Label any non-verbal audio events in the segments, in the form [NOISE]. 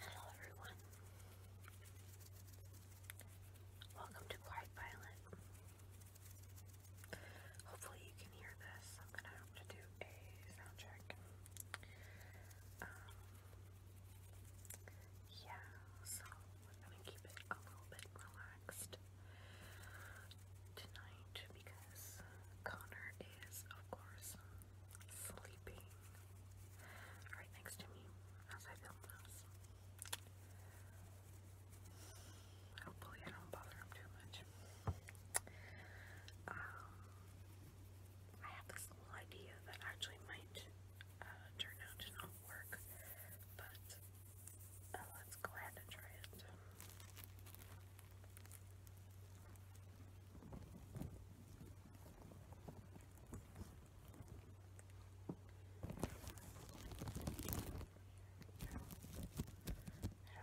Hello everyone. Welcome to Quiet Violet. Hopefully you can hear this. I'm gonna have to do a sound check. Um, yeah, so we're gonna keep it a little bit relaxed tonight because Connor is, of course, sleeping right next to me I film Hopefully, I don't bother him too much. Um, I have this little idea that actually might uh, turn out to not work, but uh, let's go ahead and try it. I don't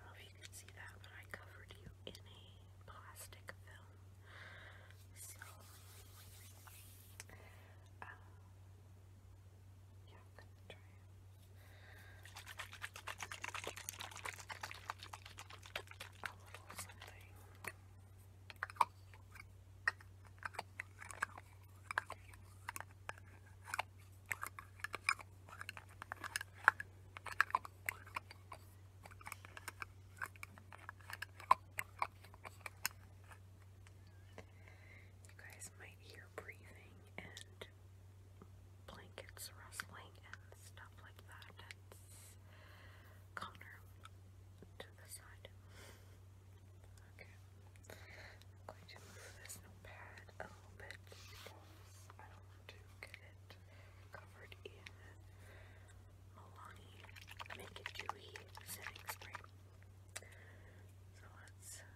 know if you can see that, but I covered you in a plastic film. So, um, yeah, I'm gonna try it. A little something. You guys might hear breathing and blankets rustling and stuff like that that's Connor to the side. Okay. I'm going to move this notepad a little bit because I don't want to get it covered in Milani Make It Dewy setting spray. So let's uh,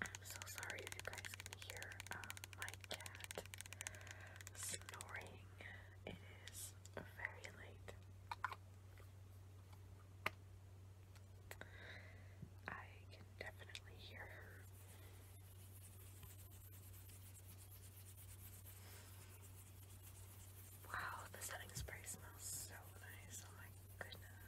I'm so sorry if you guys can hear um, my cat snoring. It is very late. I can definitely hear her. Wow, the setting spray smells so nice. Oh my goodness.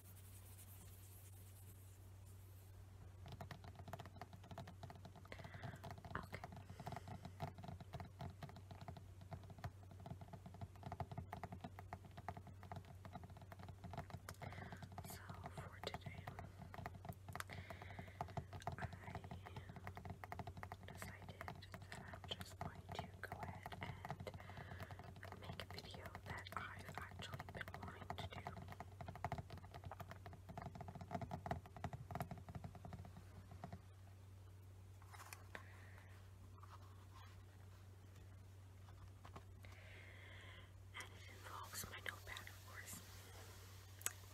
Okay. So for today, I decided that I'm just going to go ahead and make a video that I've actually been wanting to do. And it involves my notepad, of course.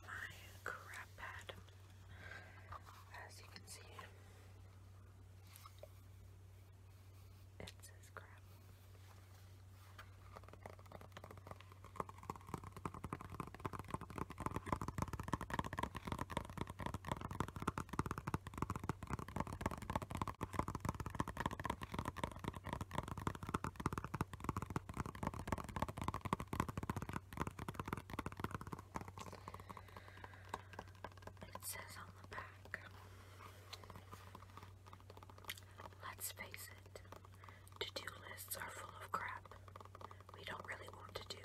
My crap pad, as you can see. It says crap. It says on the back Let's face it, to do lists are full of crap we don't really want to do,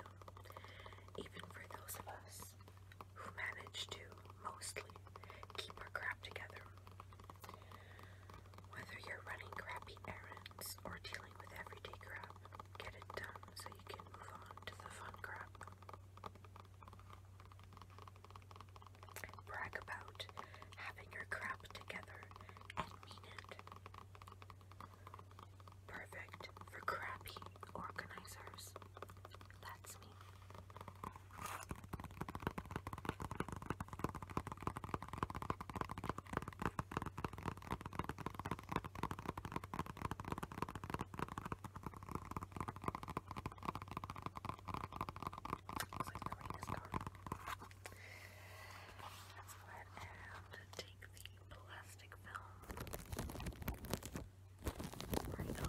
even for those of us who manage to mostly keep our crap together. Whether you're running crappy errands or dealing with everyday crap, get it done so you can move on to the fun crap. Brag about having your crap together and mean it. Perfect for crappy organizers. That's me like the light is gone. Let's go ahead and take the plastic film right off you. Okay,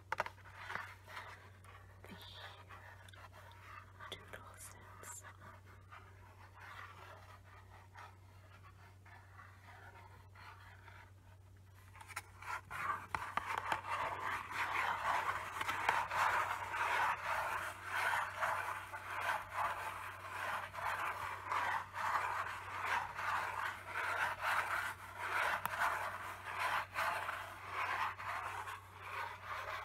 the doodle sets. Spice it off to the side.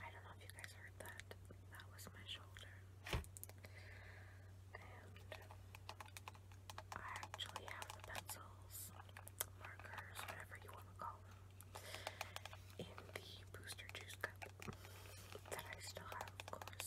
I don't know if you guys heard that. That was my shoulder. And I actually have the pencils, markers, whatever you want to call them, in the booster juice cup that I still have, of course.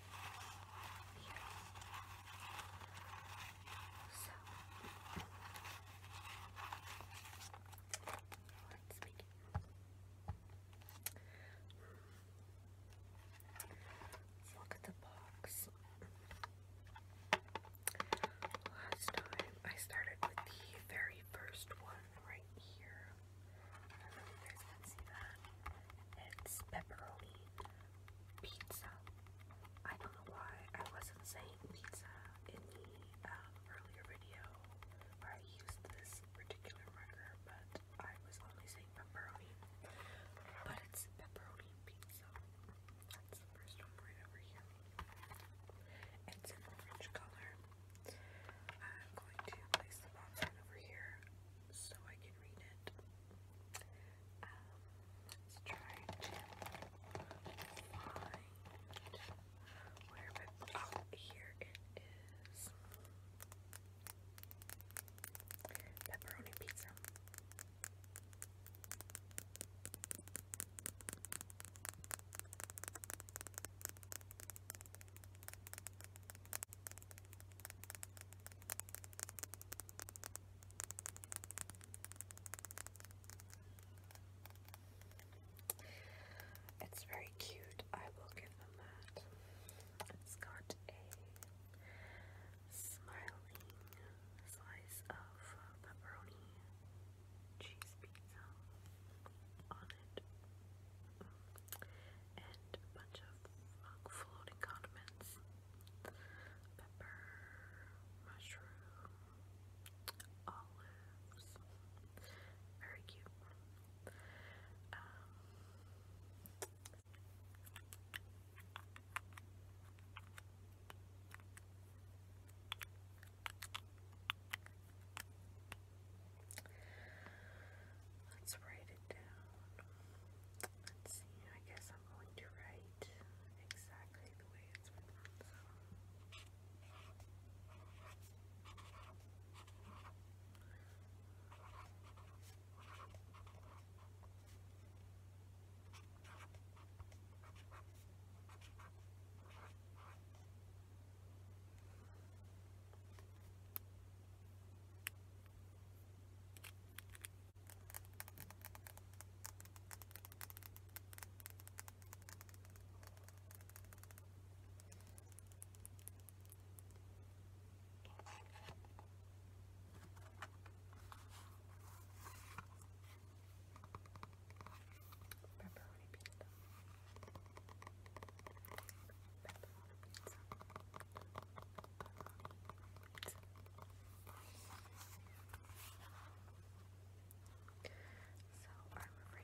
So let's begin. let look at the box. Last time I started with the very first one right here. I don't know if you guys can see that. It's pepperoni pizza. I don't know why I wasn't saying pizza in the um, earlier video where I used this particular marker, but I was only saying pepperoni. But it's pepperoni pizza. That's the first one right over here. It's an orange color. I'm going to place the box right over here so I can read it. Um, let's try to find where my oh here it is. Pepperoni pizza. It's very cute, I will give them that. It's got a smiling slice of pepperoni cheese pizza on it, and a bunch of floating condiments pepper, mushroom, olives. Very cute. Um, let's write write it down. Let's see, I guess I'm going to write exactly the way it's written, so. Okay. Pepperoni pizza. Pepperoni pizza. Pepperoni pizza. So I remember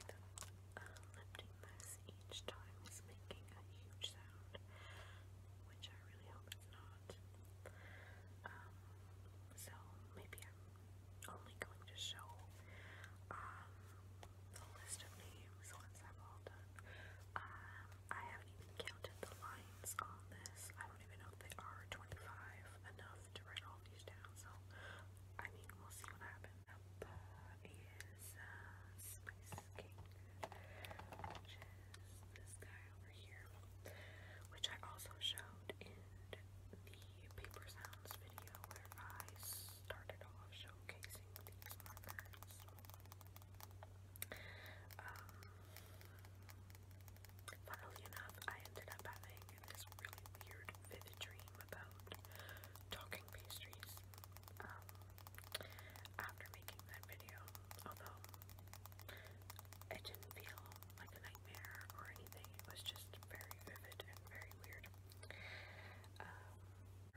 that uh, lifting this each time is making a huge sound, which I really hope it's not. Um, so maybe I'm only going to show um, the list of names once I'm all done. Um, I haven't even counted the lines on this. I don't even know if they are 25 enough to write all these down, so I mean, we'll see what is uh, which is this guy over here, which I also showed in the Paper Sounds video where I started off showcasing these markers. Um, funnily enough, I ended up having this really weird, vivid dream about talking pastries um, after making that video, although it didn't feel like a nightmare or anything, it was just very vivid and very weird. Um, you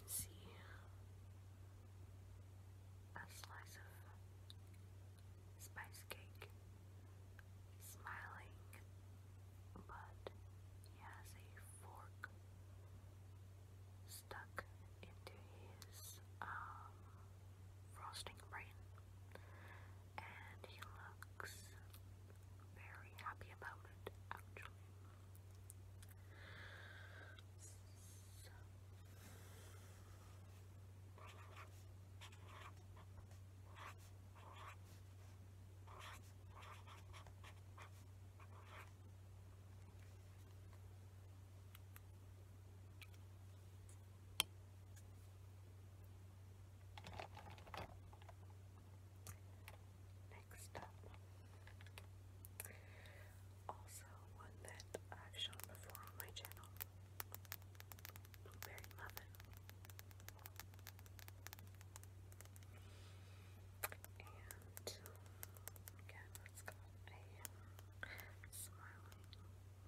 can see a slice of spice cake. smiling, but he has a fork stuck into his um, frosting brain, and he looks very happy about it, actually. Next up, also one that I've shown before on my channel. Blueberry muffin. And again, it's a smiling,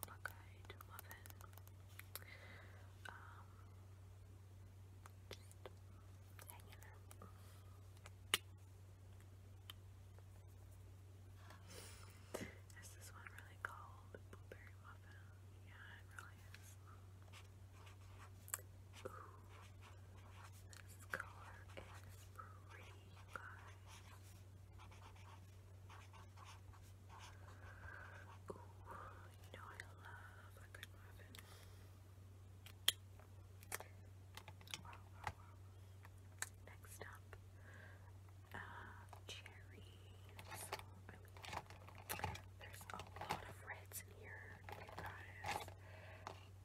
buck muffin. Um, just hanging is this one really called blueberry muffin? Yeah, it really is. Ooh, this color is pretty, you guys. Ooh, you know I love a good muffin. Wow, wow, wow. Next up, uh, cherry. So, I mean, there's a lot of reds in here, you guys.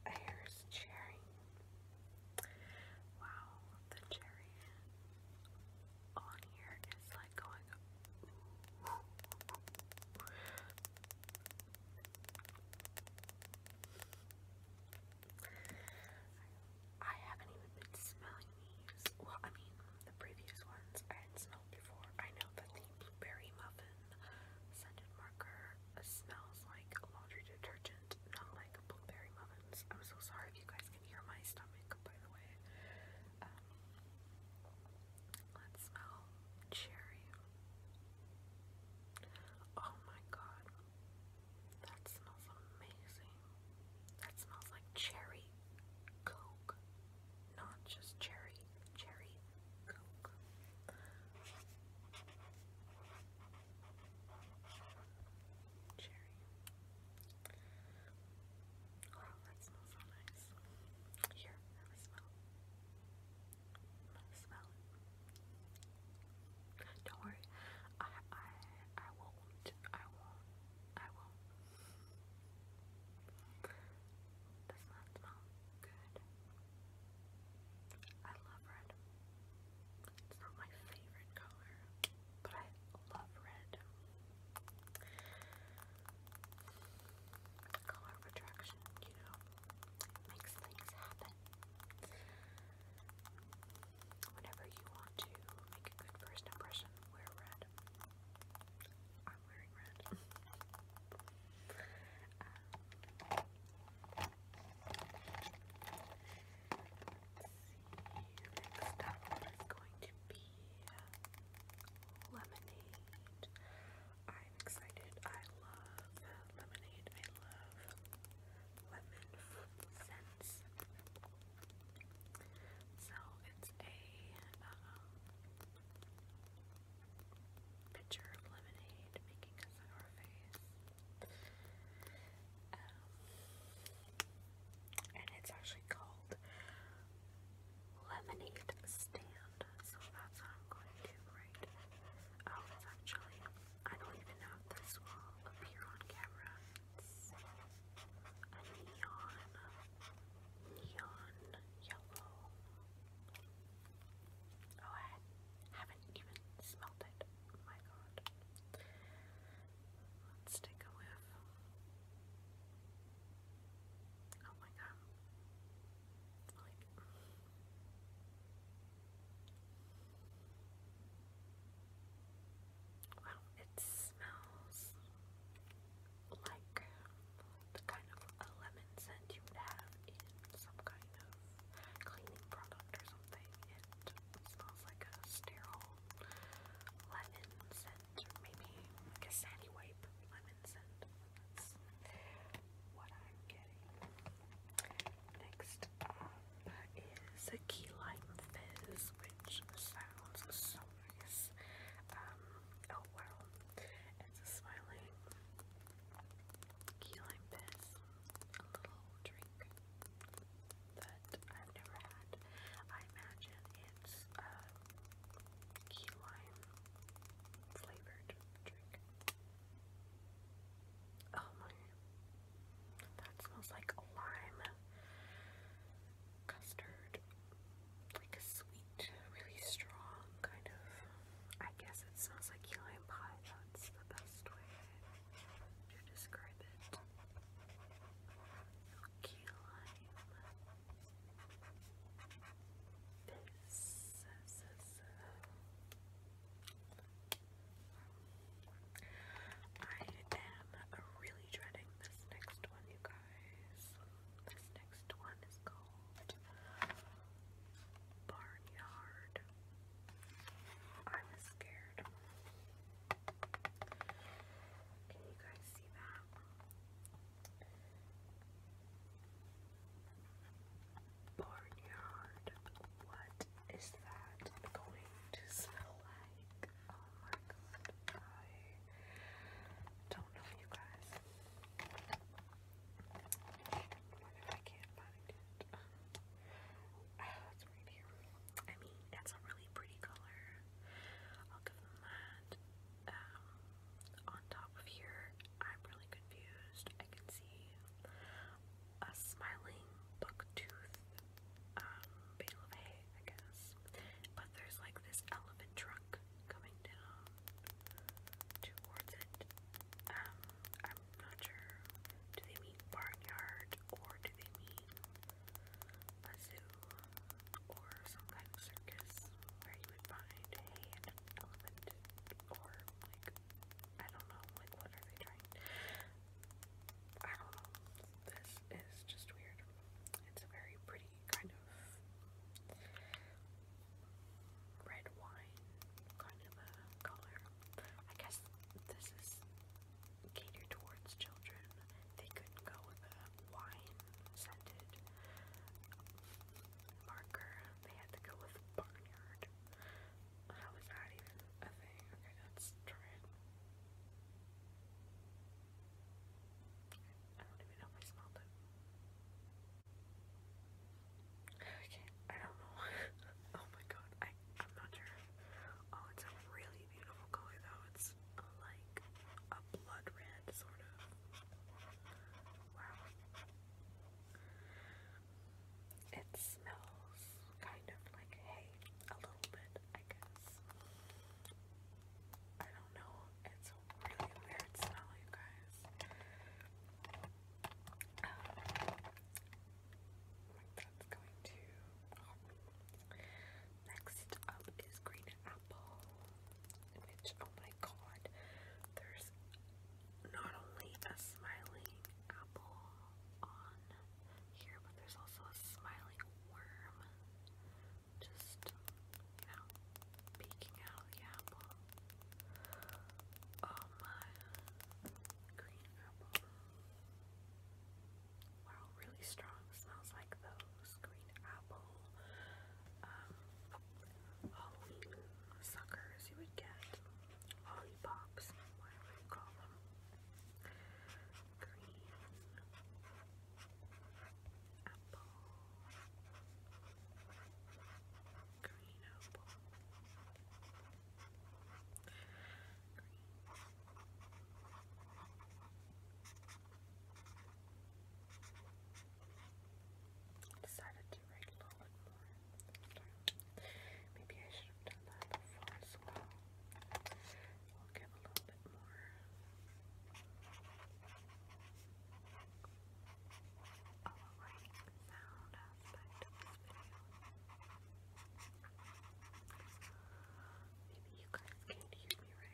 Here's cherry. Wow, the cherry on here is like going up. I haven't even been smelling Well, I mean, the previous ones I had smelled before. I know the blueberry muffin scented marker smells like laundry detergent, not like blueberry muffins. I'm so sorry if you guys can hear my stomach, by the way. Um, let's smell cherry. Oh my god. That smells amazing. That smells like cherry coke. Not just cherry, cherry coke. Cherry. Wow, that smells so nice. Here, have a smell i smell Don't worry, I I I won't. I won't. I won't. Does not smell good. I love red. It's not my favorite color, but I love red. Color attraction, you know, makes things happen whenever you want to make a good first impression, wear red. I'm wearing red. [LAUGHS] um, see, next going to be uh, lemonade. I'm excited. I love lemonade. I love so it's a um, of lemonade making a sour face. and it's actually called Lemonade Stand. So that's what I'm going to write. Oh, it's I don't even know if this will appear on camera. It's a neon, neon yellow. Oh, I haven't even smelled it. Oh my god. Let's take a whiff. Oh my god. Like, well, it smells like the kind of a lemon scent you would have in some kind of cleaning product or something. It smells like a sterile lemon scent, maybe like a sandy wipe lemon scent. That's what I'm getting. Next up is a key lime fizz, which sounds so nice. Um, oh wow, it's a smiling key lime fizz, a little drink that I've never had. I imagine it's um, key lime flavored drink. Oh my, that smells like lime custard, like a sweet, really strong kind of, I guess it smells like key lime pie, that's the best way to describe it. Key lime. This I am really dreading this next one, you guys. This next one is called Barnyard. I'm scared. Can you guys see that? Barnyard. What is that going to smell like? Oh my god. I don't know, you guys. What if I can't find it? Oh, it's right here. I mean, it's a really pretty color. I'll give them that. Um, on top of here, I'm really confused. I can see a smiling bucktooth um, bale of hay, I guess. But there's like this elephant trunk coming down towards it. Um, I'm not sure. Do they mean barnyard or do they mean a zoo or some kind of circus where you would find hay and elephant or like I don't know, like, what are they trying? I don't know. This is just weird. It's a very pretty kind of red wine kind of a color. I guess this is catered towards children. They couldn't go with a wine scented marker. They had to go with barnyard. How is that even a thing? Okay, let's I don't even know if I smelled it. Okay, I don't know. [LAUGHS] oh my god, I, I'm not sure. Oh, it's a really beautiful color though. It's like a blood red, sort of. Wow. It smells kind of like hay, a little bit, I guess. I don't know. It's a really weird smell, you guys. Um, that's going to. Um, next up is green apple, which oh my god, there's not only a smiling apple, on here, but there's also a smiling worm just, you know, peeking out of the apple. Oh my green apple. Wow, really strong. Smells like those green apple um, Halloween suckers you would get lollipops, whatever you call them. Green, apple, green apple, green. Decided to write a little more Maybe I should have done that before as well. We'll give a little bit more. Alright, sound aspect of this video. Maybe you guys can't hear me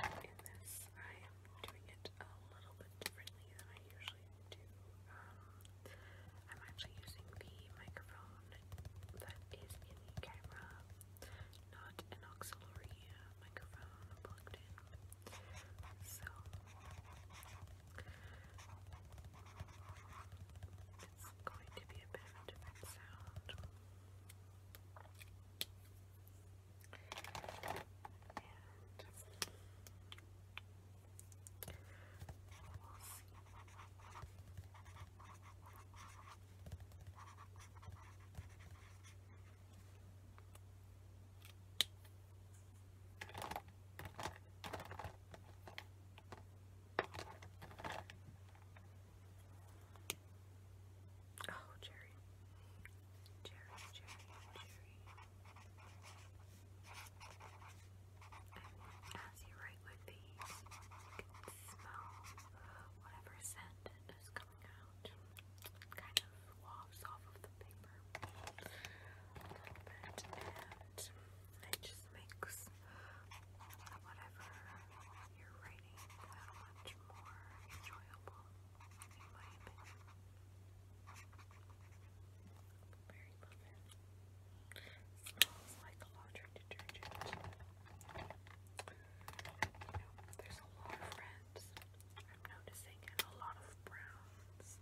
right in this. I am doing it a little bit differently than I usually to, um, I'm actually using the microphone that is in the camera, not an auxiliary uh, microphone plugged in. So, it's going to be a bit of a different sound. Oh, Jerry, Jerry, Jerry, Jerry. And as you write with these, you can smell whatever scent is coming out. kind of wafts off of the paper and it just makes whatever you're writing that much more enjoyable, Very Mary Muffin. Smells like laundry detergent. You know, there's a lot of reds. I'm noticing and a lot of browns.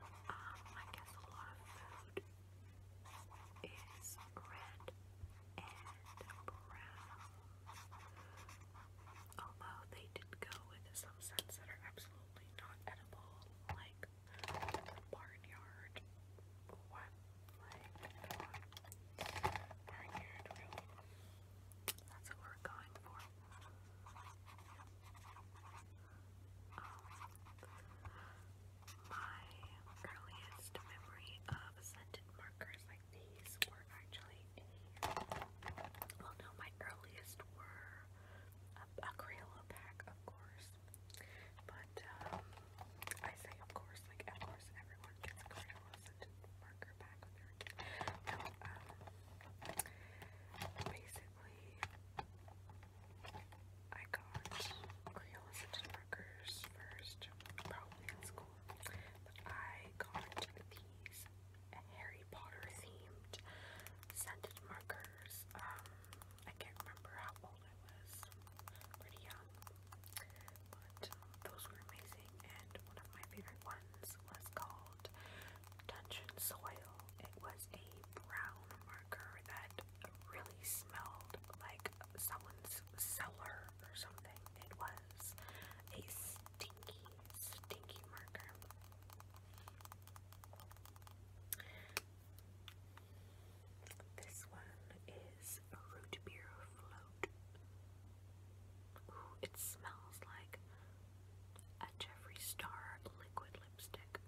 Um, I guess a lot of food is red and brown. Although they did go with some scents that are absolutely not edible, like the barnyard. What? Like, Barnyard, really? That's what we're going for. Um, my earliest memory of scented markers like these were actually well no, my earliest were a Crayola pack, of course, but um, I say, of course, like of course, everyone gets a card marker back with um, basically, I got Crayola scented markers first, probably in school. But I got these Harry Potter themed scented markers. Um, I can't remember how old I was, pretty young, but um, those were amazing. And one of my favorite ones was called Dungeon Soil. It was a brown marker that really smelled like someone's cellar or something. It was a stinky, stinky marker. This one is a root beer float. it smells like a Jeffrey Star liquid lipstick.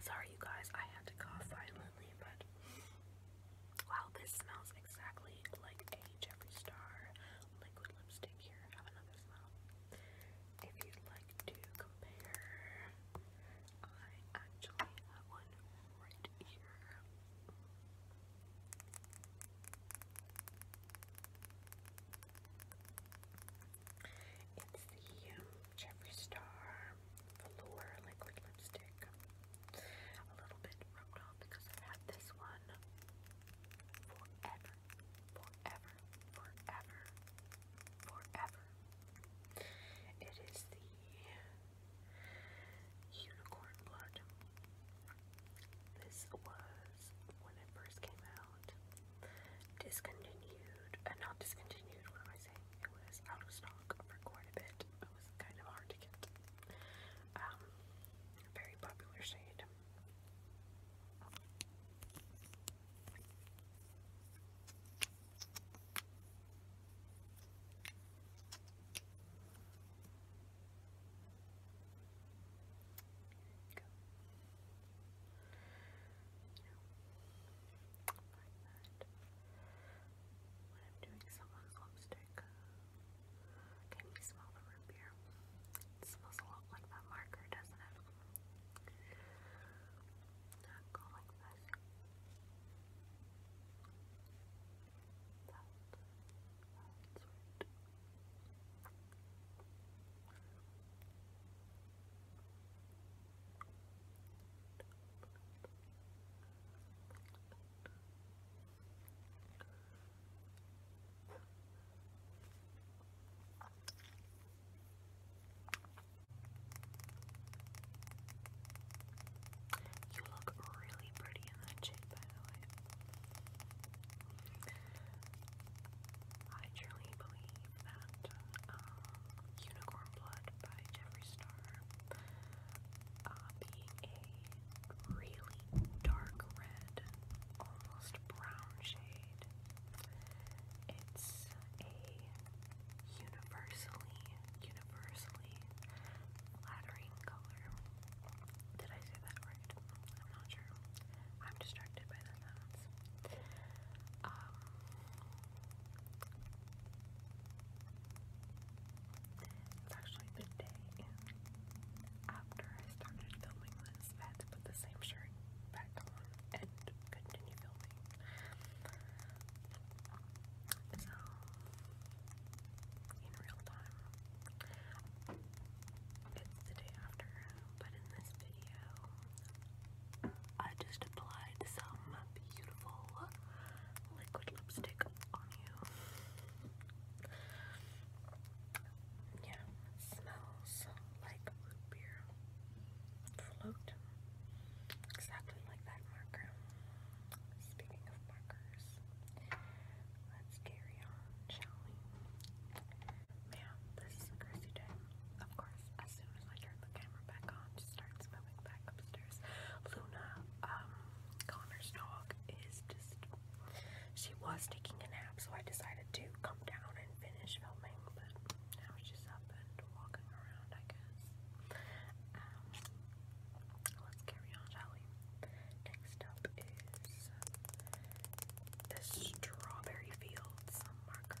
Sorry, you guys, I had to cough violently, but wow, this smells exactly like a Jeffree Star liquid lipstick. Here, have another smell. If you'd like to compare, I actually have one right here. It's the um, Star Velour Liquid Lipstick. A little bit rubbed off because I've had this one forever forever, forever, forever. It is the unicorn blood. This was when it first came out. Discontinued, uh, not discontinued, what am I saying? It was out of stock for quite a bit. It was kind of hard to get. Um, very popular shade doing someone's lipstick. Uh, can you smell the root beer? It smells a lot like that marker, doesn't it? Not go like this. That, that's right. You look really pretty in that shade, by the way. I truly believe that um, Unicorn Blood by Jeffree Star uh, being a really dark red, almost brown shade it's a universally, universally flattering color. Did I say that right? I'm not sure. I'm distracted by the sounds. Um, it's actually the day after I started filming this. I put the same shirt back on and continue filming. So, in real time, it's the day after, but in this video, I just applied some beautiful liquid lipstick on you. Yeah, smells like root beer float, exactly like that marker. Speaking of markers, let's carry on, shall we? Ma'am, this is a crazy day. Of course, as soon as I turn the camera back on, she starts moving back upstairs. Luna, um, Connor's dog is just. She was taking a nap, so I decided to come down and finish filming, now she's up and walking around, I guess. Um, let's carry on, shall Next up is the Strawberry Fields marker.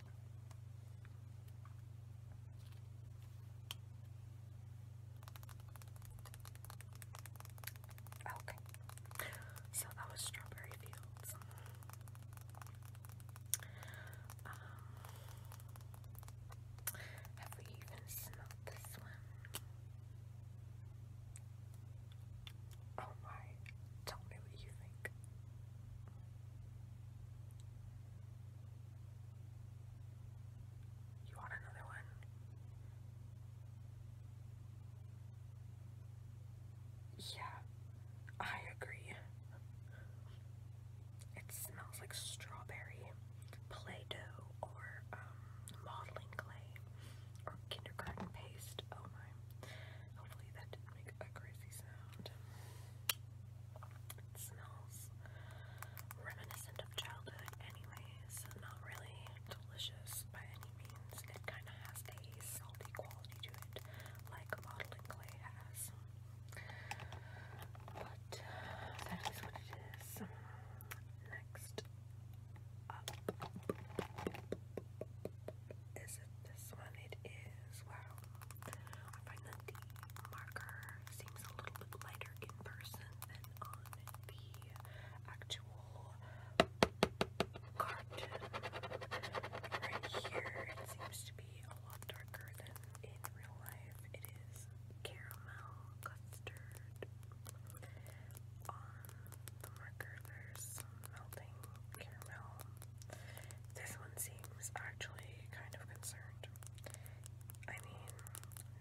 Okay, so that was Strawberry Fields. Um, have we even smelled this one? Oh tell me what you think. You want another one? Yeah, I agree. It smells like strawberry, Play Doh, or um, modeling clay, or kindergarten paste. Oh my. Hopefully that didn't make a crazy sound it smells reminiscent of childhood anyways, not really delicious by any means. It kind of has a salty quality to it, like modeling clay has. But that is what it is. Next up is it this one? It is, wow, I find that the marker seems a little bit lighter in person than on the actual card. Right here, it seems to be a lot darker than in real life. It is caramel custard. On the marker, there's melting caramel this one seems actually kind of concerned. I mean,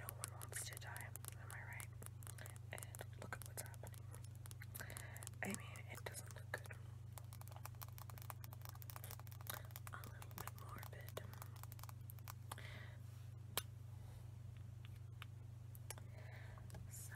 no one wants to die, am I right? And look at what's happening. I mean, it doesn't look good. A little bit morbid. So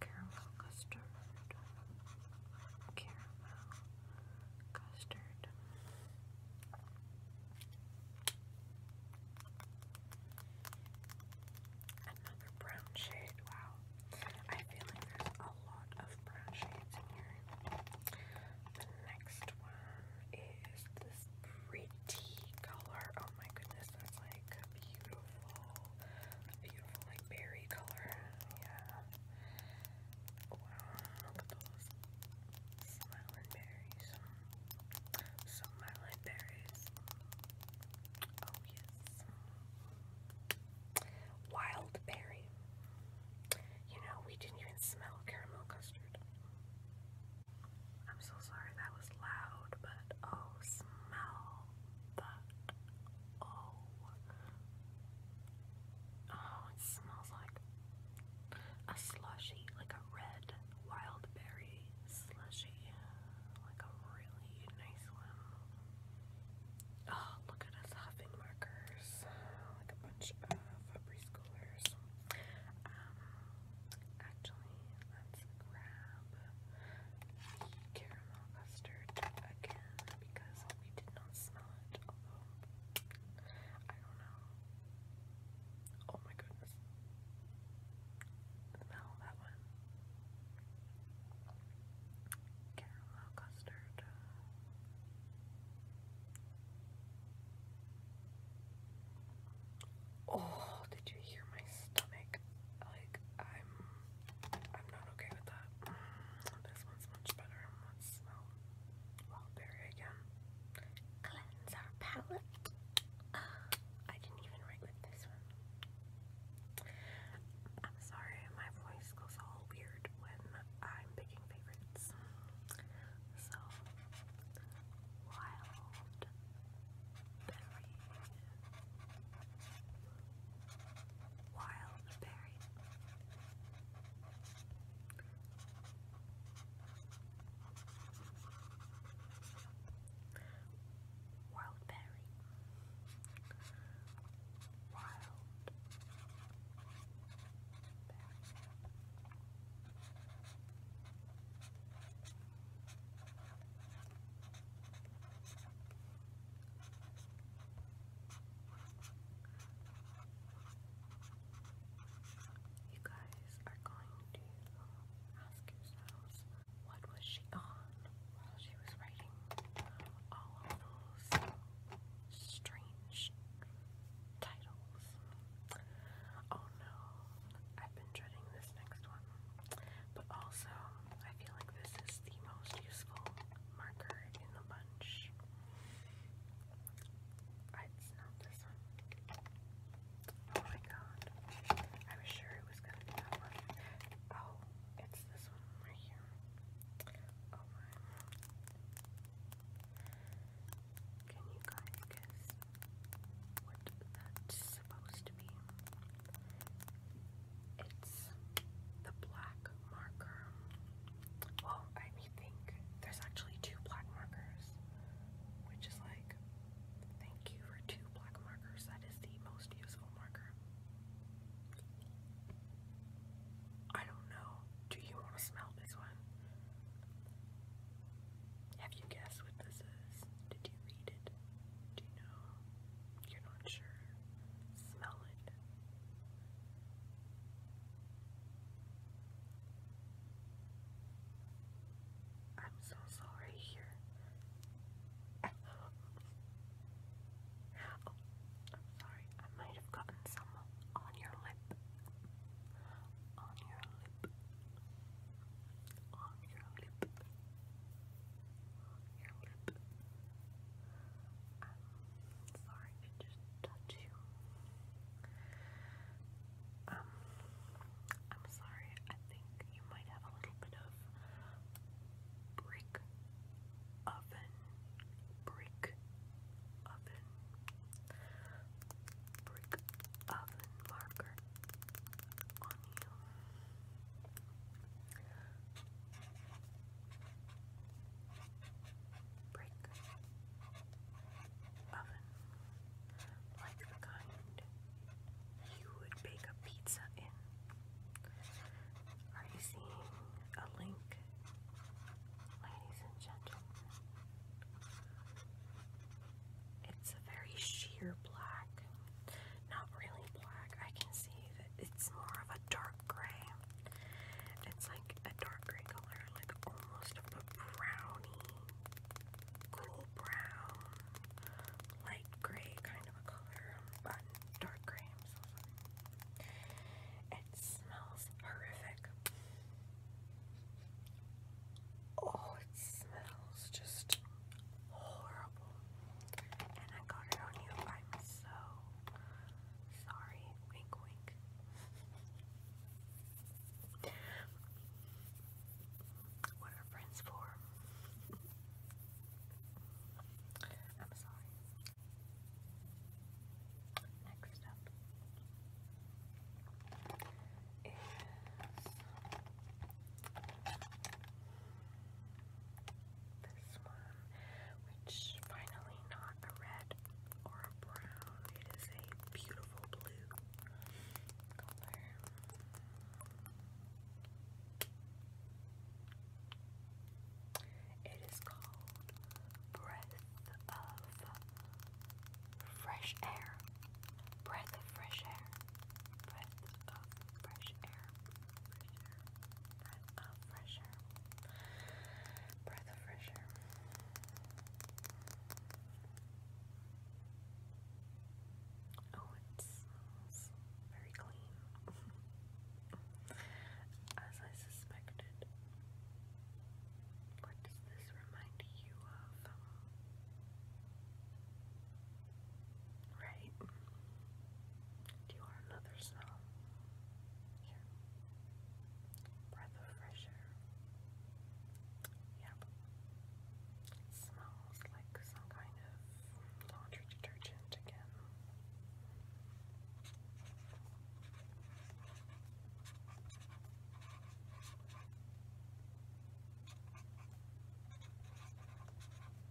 caramel custard, caramel custard. Another brown shade. Wow, I feel like there's a lot of brown shades in here. The next one is this pretty color. Oh my goodness, that's like beautiful, beautiful like berry color. Yeah. Wow, look at those smiling berries. Smiling berries. Oh yes. Wild berry. You know, we didn't even smell caramel custard. I'm so sorry that was loud, but oh, smell. Oh. Oh, it smells like a slushy, like a red wild berry slushy. Like a really nice one. Oh, look at us huffing markers. Like a bunch of Febreze Um, actually, let's grab the caramel custard again because we did not smell it. I don't know. Oh my goodness. Smell that one. Caramel custard. Oh, did you hear my stomach? Like, I'm I'm not okay with that. This one's much better. Let's smell Wildberry again. Cleanse our palate. I didn't even write with this one. I'm sorry, my voice goes all weird when I'm picking favorites. So, wild buried. Wild buried. Wild berry. Wild berry. You guys are going to ask yourselves what was she on while she was writing all of those strange titles. Oh no, I've been dreading this next one. But also, I feel like this is the most useful marker in the bunch. Ah, it's not this one. Oh my god. I was sure it was gonna be that one. Oh, it's this one right here. Oh my. Can you guys guess what that's supposed to it's the black marker. Well, I think there's actually two black markers, which is like, thank you for two black markers. That is the most useful marker. I don't know. Do you want to smell this one? Have you guessed what this is? Did you read it? Do you know? You're not sure. Smell it. I'm so sorry here. oh, sorry. I might have gotten some on your lip. On your lip. On your lip your lip. sorry to just touch you. Um, I'm sorry, I think you might have a little bit of brick um, oven, brick oven, brick oven marker on you. Brick oven, like the kind you would bake a pizza in. Are you seeing a link, ladies and gentlemen? It's a very sheer black not really black. I can see that it's more of a dark gray. It's like a dark gray color, like almost a brownie, cool brown, light gray kind of a color, but dark gray. It smells horrific. Oh, it smells just horrible. And I got it on you. I'm so sorry. Wink, wink. What are friends for? I'm sorry. Next up is this one, which finally not a red or a brown. It is a beautiful blue color. It is called Breath of Fresh Air. Breath of Fresh Air. Breath of Fresh Air. Breath of fresh Breath of fresh Oh, it smells very clean. As I suspected. What does this remind you of? Right? Do you want another smell? Here. Breath of fresh air. Yep. smells like some kind of laundry detergent again.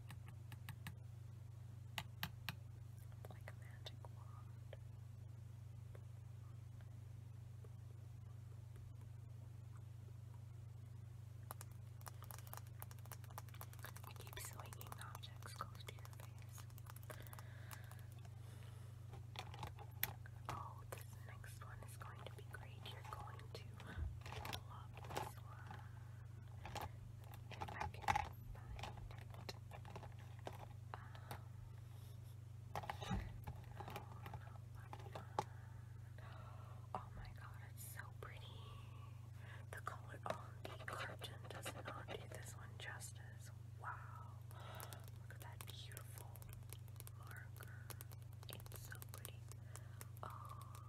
It's like a magic wand. I keep swinging objects close to your Oh, this next one is going to be great. You're going to love this one if I oh my god, it's so pretty. The color on the curtain does not do this one justice. Wow. Look at that beautiful marker. It's so pretty. Oh,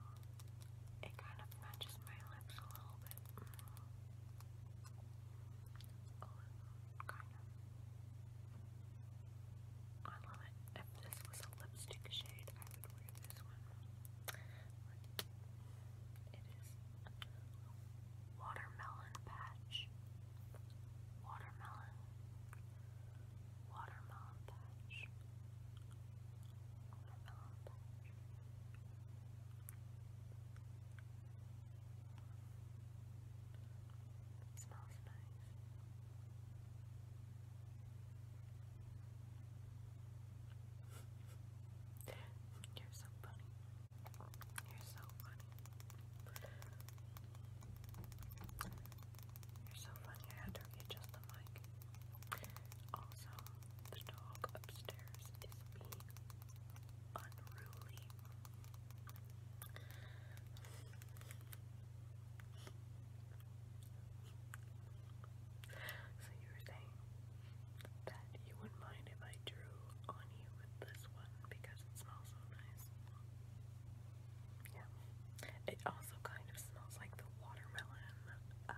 it kind of matches my lips a little bit. Mm. I love it. If this was a lipstick shade, I would wear this one. it is watermelon patch. Watermelon. Watermelon patch. It smells You're so funny. You're so funny. You're so funny. I had to readjust the mic. Also, the dog upstairs is being so you were saying that you wouldn't mind if I drew on you with this one because it smells so nice. Yeah. It also kind of smells like the watermelon um,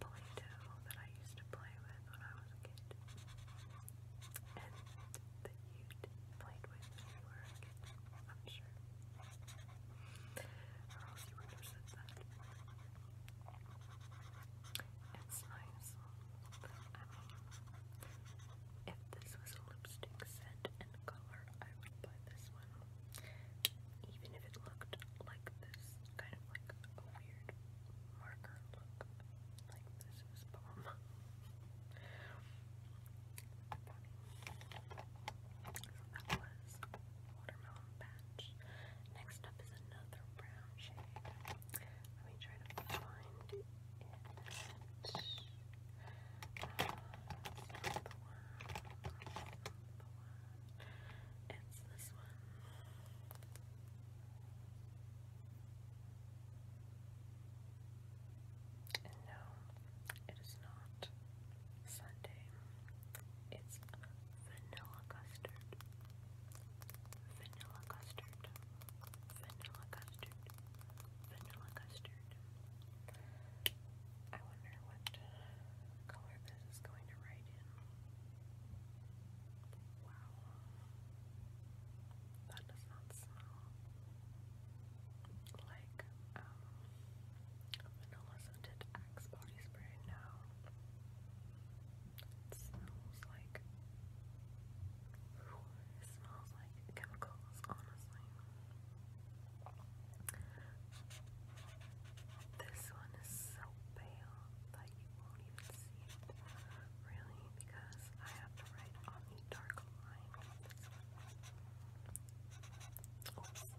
Play-Doh that I used to play with when I was a kid. And that you played with you were I'm sure. Or else you would have said that. It's nice. if this was lipstick set and color, I would buy this one even if it looked like this, kind of like a weird marker look, like this is bomb. so [LAUGHS] that was Watermelon Patch. Next up is another brown shade. Let me try to find it. Uh, it's this one. no, it is not Sunday. It's vanilla custard. Vanilla custard. Vanilla custard. Vanilla custard. I wonder what color this is going to write in. Wow. That does not smell like vanilla scented axe body spray now. It smells like it smells like chemicals, honestly. This one is so pale that you won't even see it, really, because I have to write on the dark line Forgot how to write for a second.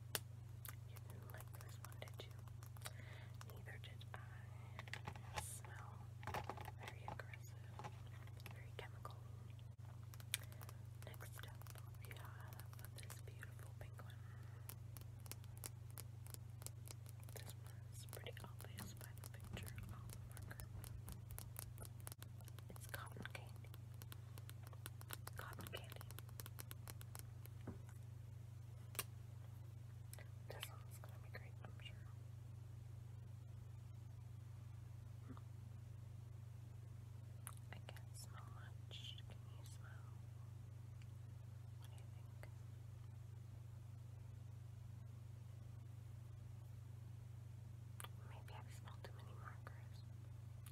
You didn't like this one, did you? Neither did I. smell very aggressive, very chemical. Next up, we have this beautiful pink one. This pretty obvious by the picture on the marker. It's cotton candy. Cotton candy. This one's gonna be great, I'm sure. I can't smell much. Can you smell? What do you think? Maybe I've too many markers.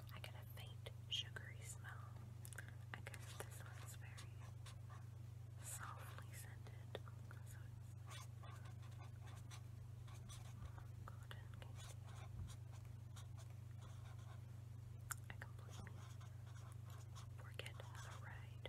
I can faint sugary smell. I guess this one's very softly scented. So I completely forget the ride.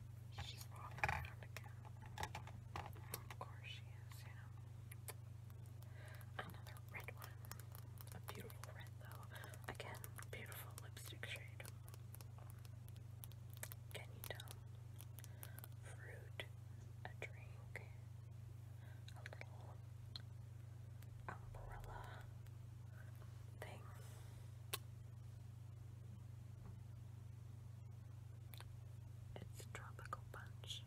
She's walking around again. Of course she is, you know. Another red one. A beautiful red though. Again, beautiful lipstick shade. Can you tell? Fruit, a drink, a little umbrella thing. It's tropical punch,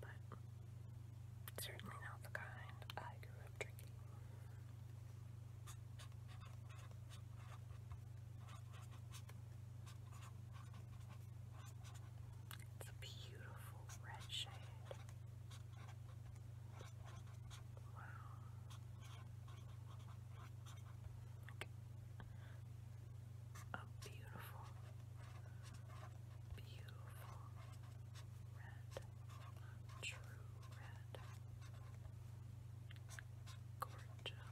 but certainly not the kind I grew up drinking. It's a beautiful red shade. Okay. A beautiful, beautiful red, true red, gorgeous,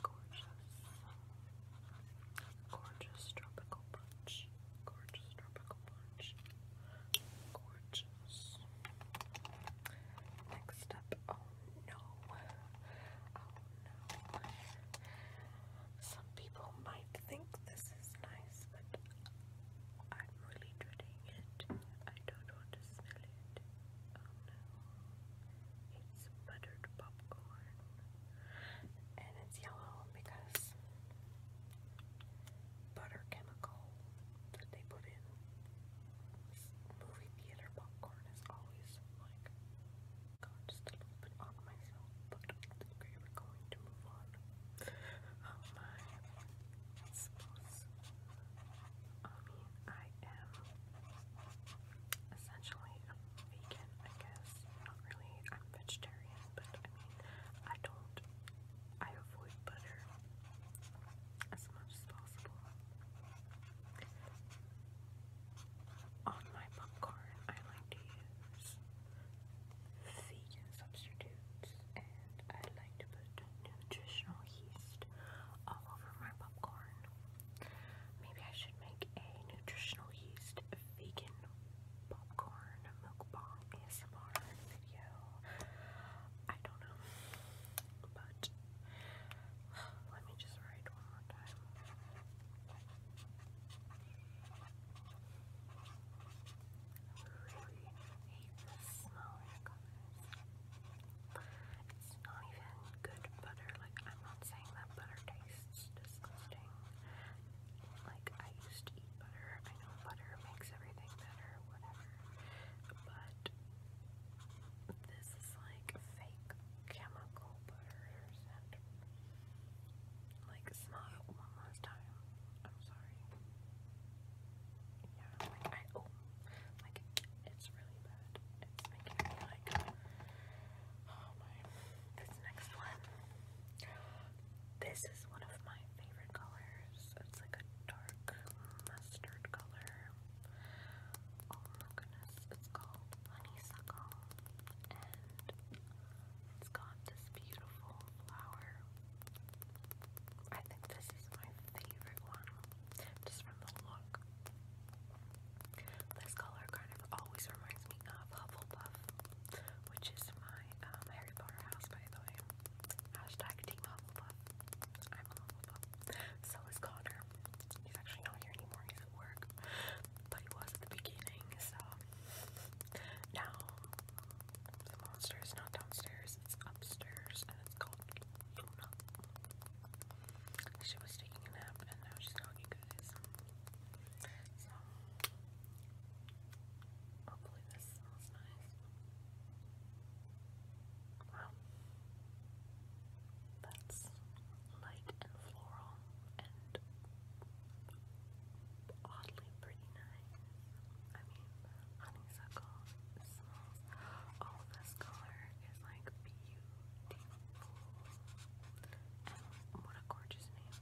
gorgeous, gorgeous, gorgeous tropical punch punch, gorgeous tropical punch, gorgeous. Next up, oh no, oh no. Some people might think this is nice, but I'm really dreading it. I don't want to smell it. It's buttered popcorn. And it's yellow because butter chemical that they put in. Movie theater popcorn is always like, God, just a little myself, but we were going to move on. Oh, my, I mean, I am essentially a vegan, I guess. Not really, I'm vegetarian but I mean, I don't, I avoid butter as much as possible. On my popcorn, I like to use vegan substitutes and I like to put nutritional yeast all over my popcorn. Maybe I should make a nutritional yeast vegan popcorn mukbang ASMR video. I don't know, but let me just write one more time. really hate this smell, It's not even good butter. Like I'm not saying that butter tastes disgusting. Like, I used to eat butter. I know butter makes everything better, whatever. But this is like fake chemical butters like smell one last time. I'm sorry. Yeah, like I oh like it's really bad. It's making me like oh my this next one this is one of my favorite colors. It's like a dark mustard color. Oh my goodness, it's called honeysuckle. And it's got this beautiful flower. I think this is my favorite one, just from the look. This color kind of always reminds me of Hufflepuff, which is my um, Harry Potter house, by the way. Hashtag Team Hufflepuff. I'm a So is Connor. He's actually not here anymore, he's at work. But he was at the beginning, so. Now, the monster is not downstairs, it's upstairs, and it's called Luna. She was taking a nap, and now she's not, you guys. Hopefully this smells nice. Wow. That's light and floral and oddly pretty nice. I mean, honeysuckle smells. All this color is like beautiful. And what a gorgeous name.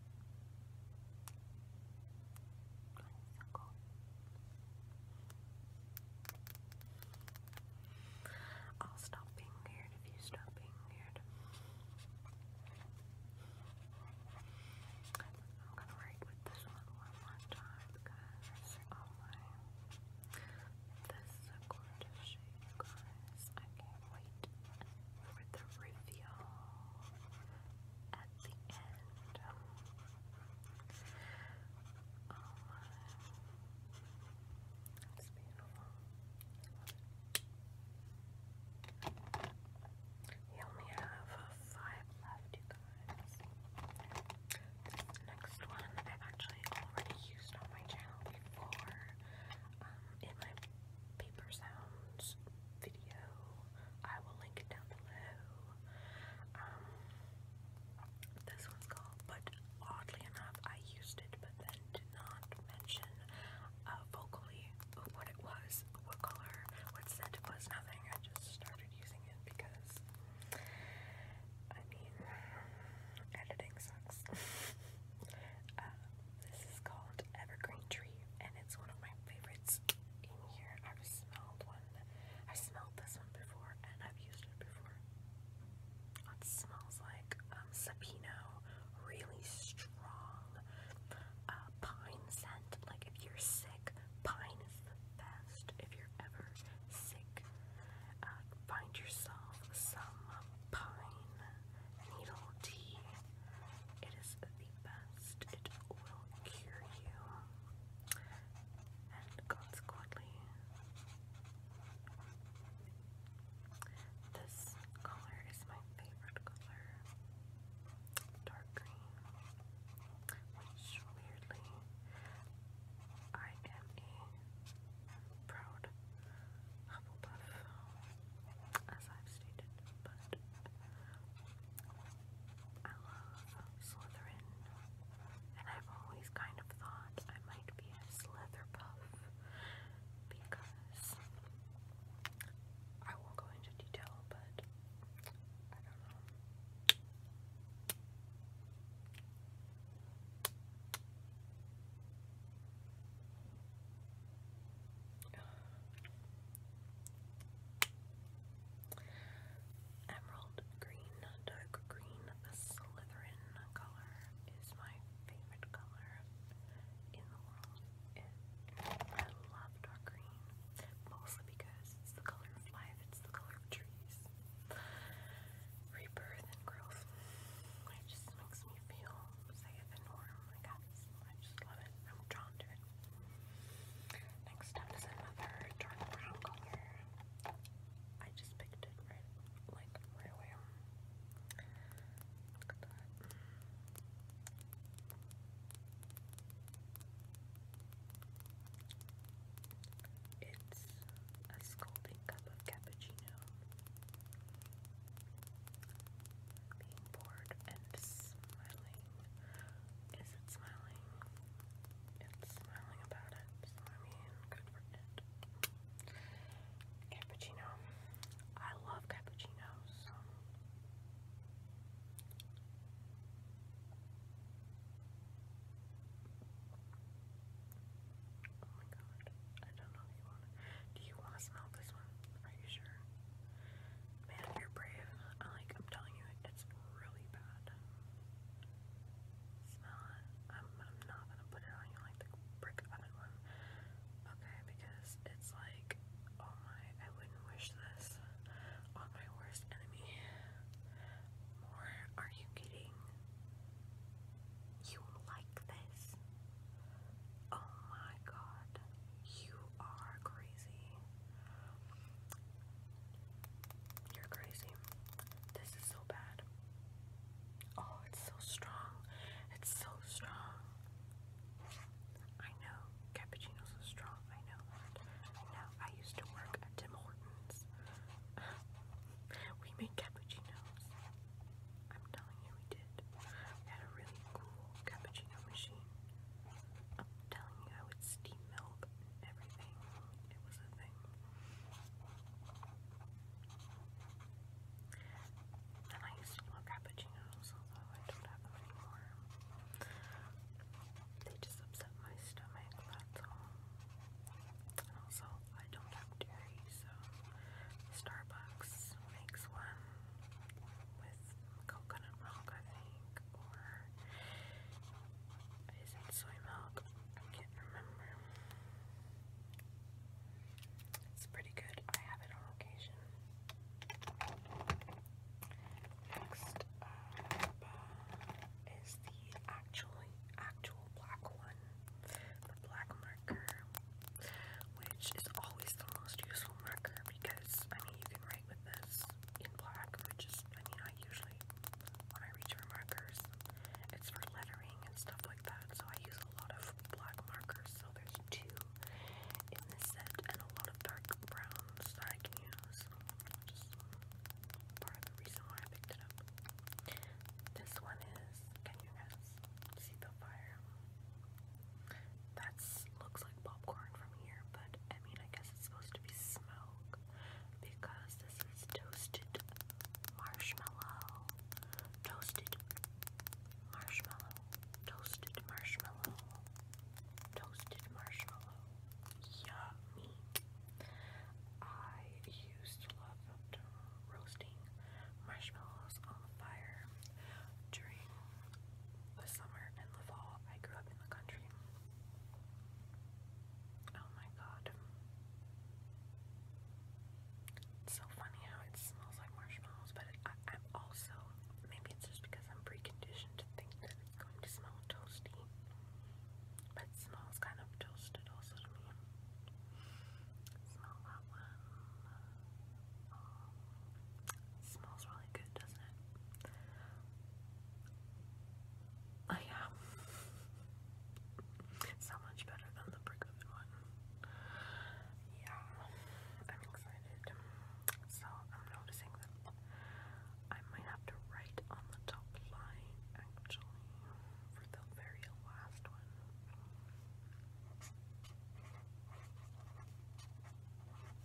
Honeysuckle. I'll stop being weird if you stop being weird. I'm gonna write with this one one more time because this is a gorgeous shape wait for the reveal at the end. That's beautiful. We only have five left, you guys. next one I've actually already used on my channel before um, in my paper sounds video. I will link it down below. Um, this one's called, but oddly enough, I used it, but then did not mention uh, vocally what it was, what color, what scent it was, nothing. I just started using it because, I mean, editing sucks. [LAUGHS] Uh, this is called Evergreen Tree, it's one of my favorites in here. I've smelled one. I smelled this one before and I've used it before. It smells like um, Sabino, really strong uh, pine scent. Like if you're sick, pine is the best. If you're ever sick, uh, find yourself some pine needle tea. It is best. It will cure you, and consequently, this color is my favorite color. Dark green, weirdly, I am a proud Hufflepuff as I've stated, but I love Slytherin, and I've always kind of thought I might be a Slytherpuff because I won't go into detail, but I don't know. Emerald green, dark green, the Slytherin color is my favorite color in the world. I love dark green, mostly because it's the color of life, it's the color of trees, rebirth, and growth. It just makes me feel Save and warm. I got I just love it. I'm drawn to it. Next up is another dark brown color. I just picked it right, like right away. Look at that. It's a scalding cup of cappuccino. Being bored and smiling. Is it smiling? It's smiling about it, I mean, good for it. Cappuccino. I love cappuccinos. Oh my god. I don't know if you want Do you want to smell this one? Are you sure? Man, you're brave. I like I'm telling you it's really bad. Smell it. I'm not gonna put it on you like the brick oven Okay, because it's like oh my I wouldn't wish this on my worst enemy. Or are you kidding? You like this? Oh my god. You are crazy. You're crazy. This is so bad. Oh, it's so strong. It's so strong. I know. Cappuccinos are strong. I know I know. I used to work at Tim Hortons. [LAUGHS] we made cappuccinos. I'm telling you, we did had a really cool cappuccino machine. i telling you, I would steam milk everything. It was a thing. And I used to do cappuccinos, although I don't have them anymore. They just upset my stomach, that's all. also, I don't have dairy, so Starbucks makes one with coconut milk, I think, or is it soy milk? I can't remember. It's pretty good. I have it on occasion. Next uh, is the actually actual black one, the black marker, which is always the most useful marker because. I mean, you can write with this in black, which is, I mean, I usually, when I reach for markers, it's for lettering and stuff like that, so I use a lot of black markers. So there's two in this set, and a lot of dark browns that I can use. Just part of the reason why I picked it up. This one is, can you guys see the fire? That's looks like popcorn from here, but I mean, I guess it's supposed to be smoke because this is toasted marshmallow. Toasted marshmallow. Toasted marshmallow. Toasted marshmallow. Yummy. I used to love roasting marshmallows on the fire during the summer and the fall. I grew up in the country. Oh my god. so funny how it smells like marshmallows, but I, also, maybe it's just because I'm preconditioned to think that it's going to smell toasty. But it smells kind of toasted also to me. Smell that one. It smells really good, doesn't it? Oh yeah. [LAUGHS] so much better than the brick oven one. Yeah, I'm excited. So I'm noticing that I might have to write on the top line actually for the very last one.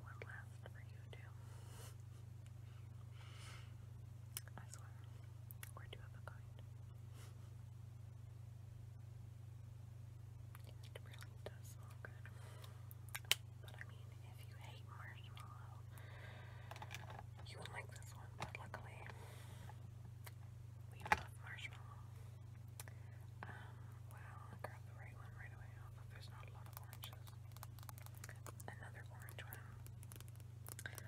One last for you too. I swear, we're two of a kind. It really does smell good. But I mean, if you hate marshmallow, you will like this one. But luckily, we love marshmallow. Um, well, I grabbed the right one right away, there's not a lot of oranges. Another orange one.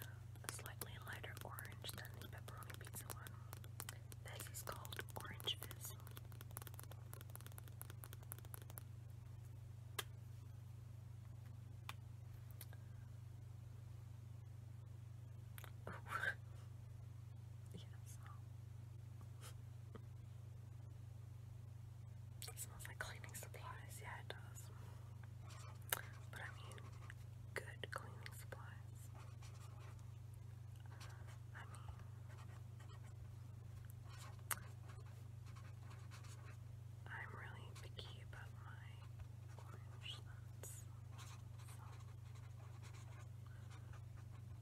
A slightly lighter orange than the pepperoni pizza one. This is called Orange Fizz. [LAUGHS] it smells like cleaning supplies. Yeah, it does. But I mean, good cleaning supplies. I mean, I'm really picky about my orange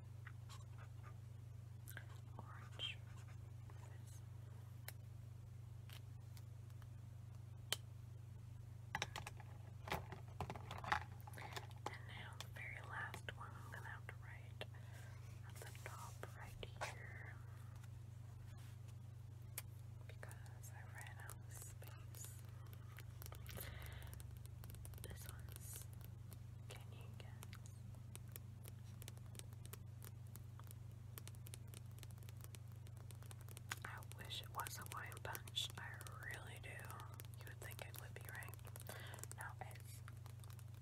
Orange. And now the very last one I'm gonna have to write at the top right here because I ran out of space. This one's Can you get I wish it was a wine punch. I really do. You would think it would be right. Now it's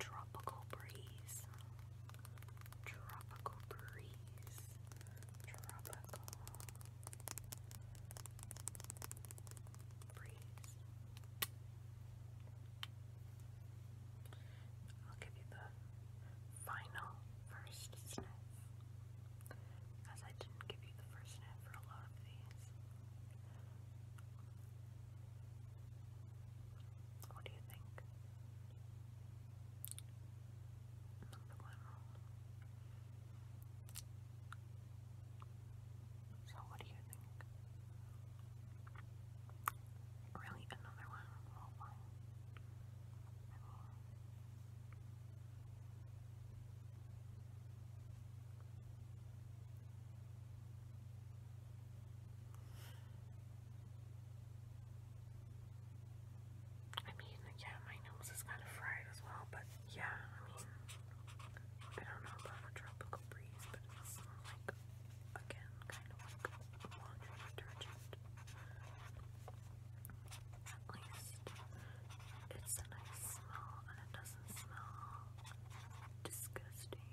tropical breeze. Tropical breeze. Tropical breeze. I'll give you the final first sniff, as I didn't give you the first sniff for a lot of these. What do you think? Number one So what do you think? Really, another one? I mean, I yeah, my nose is kind of fried as well, but yeah, I mean, I don't know about a tropical breeze, but it's like again, kind of like laundry detergent. At least it's a nice smell and it doesn't smell disgusting.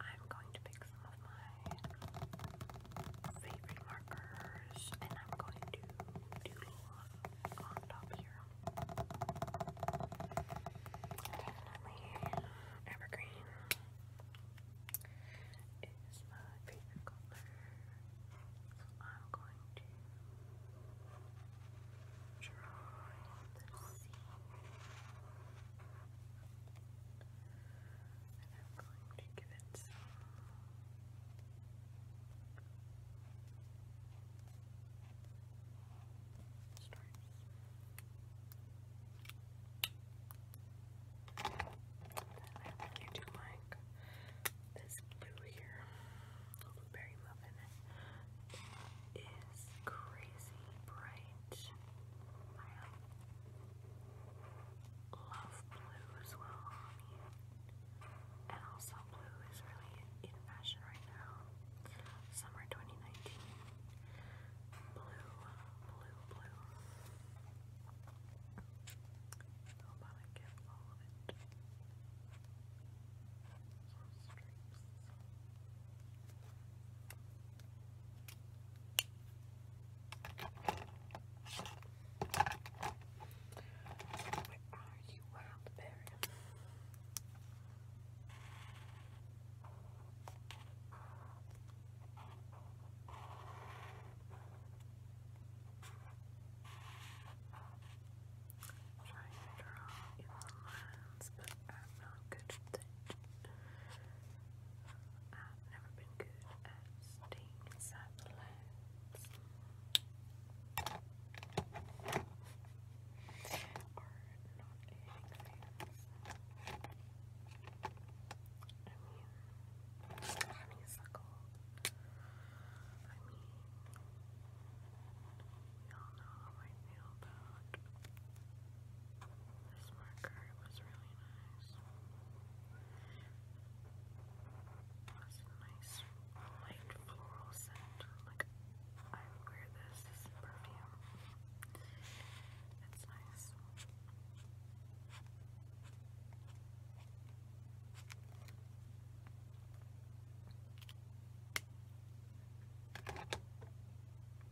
I'm going to pick some of my favorite markers and I'm going to doodle on top here. Definitely evergreen is my favorite color. So I'm going to draw and I'm going to give it some stripes. I think you do like this blue here, blueberry muffin. Is crazy bright. I love blue as well. I and also blue is really in fashion right now. Summer 2019. Blue, blue, blue. How about I get all of it? Some streaks. Where are you, wild berry? Trying to draw in the lines, but I'm not good at that. I've never been good at staying inside the not anything. I mean, honeysuckle. I mean, we all know how I feel about this marker was really nice. It was a nice light floral scent. Like I wear this perfume. It's nice. And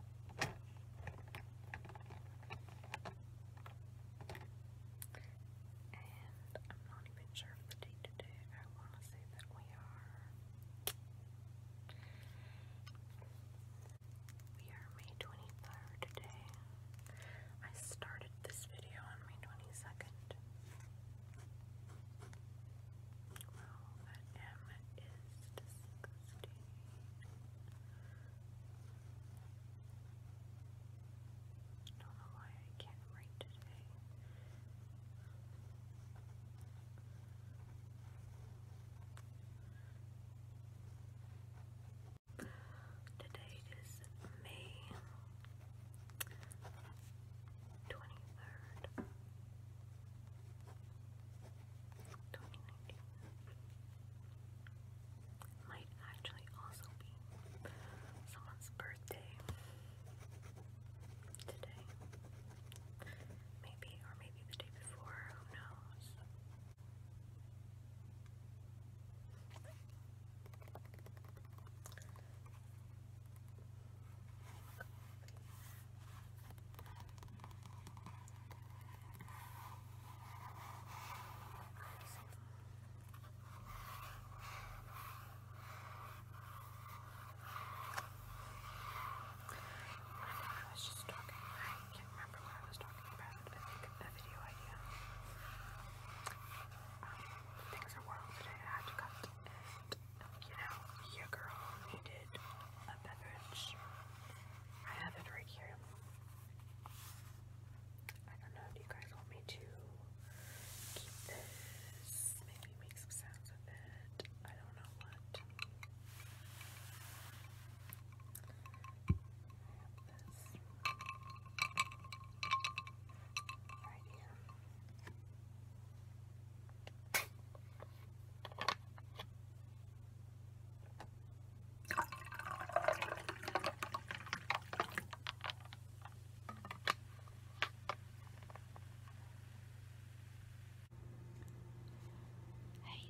I'm not even sure the date today. I want to say that we are. We are May 23rd today. I started this video on May 22nd. Well, that M is don't know why I can't write today. Today is May 23rd, 2019. Might actually also be someone's birthday today. Maybe, or maybe the day before, who knows? I was just talking, I can't remember what I was talking about, I think video idea. things are wild today, I had to cut, you know, your girl needed a beverage. I have it right here. I don't know, do you guys want me to keep this? Maybe make some sounds with it. I don't know what. I have this right here. Hey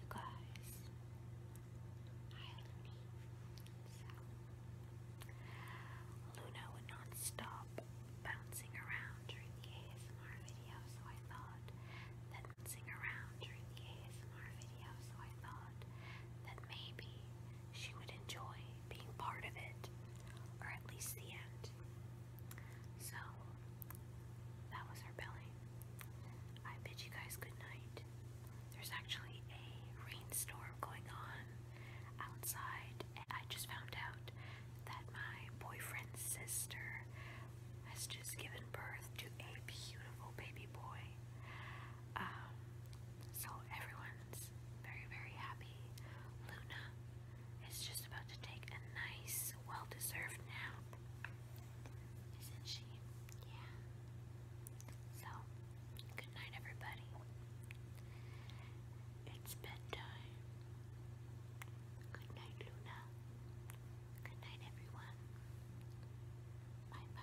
you guys. Hi Looney. Luna would not stop bouncing around during the ASMR video, so I thought that dancing around during the ASMR video, so I thought that maybe she would enjoy being part of it, or at least the end. So, that was her belly. I bid you guys good night. There's actually a rainstorm going on outside, and I just found out that my boyfriend's sister has just given birth to a beautiful baby boy. Um, so everyone's very, very happy. Luna is just about to take a nice, well deserved nap. Isn't she? Yeah. So, good night, everybody. It's bedtime. Good night, Luna. Good night, everyone. Bye bye.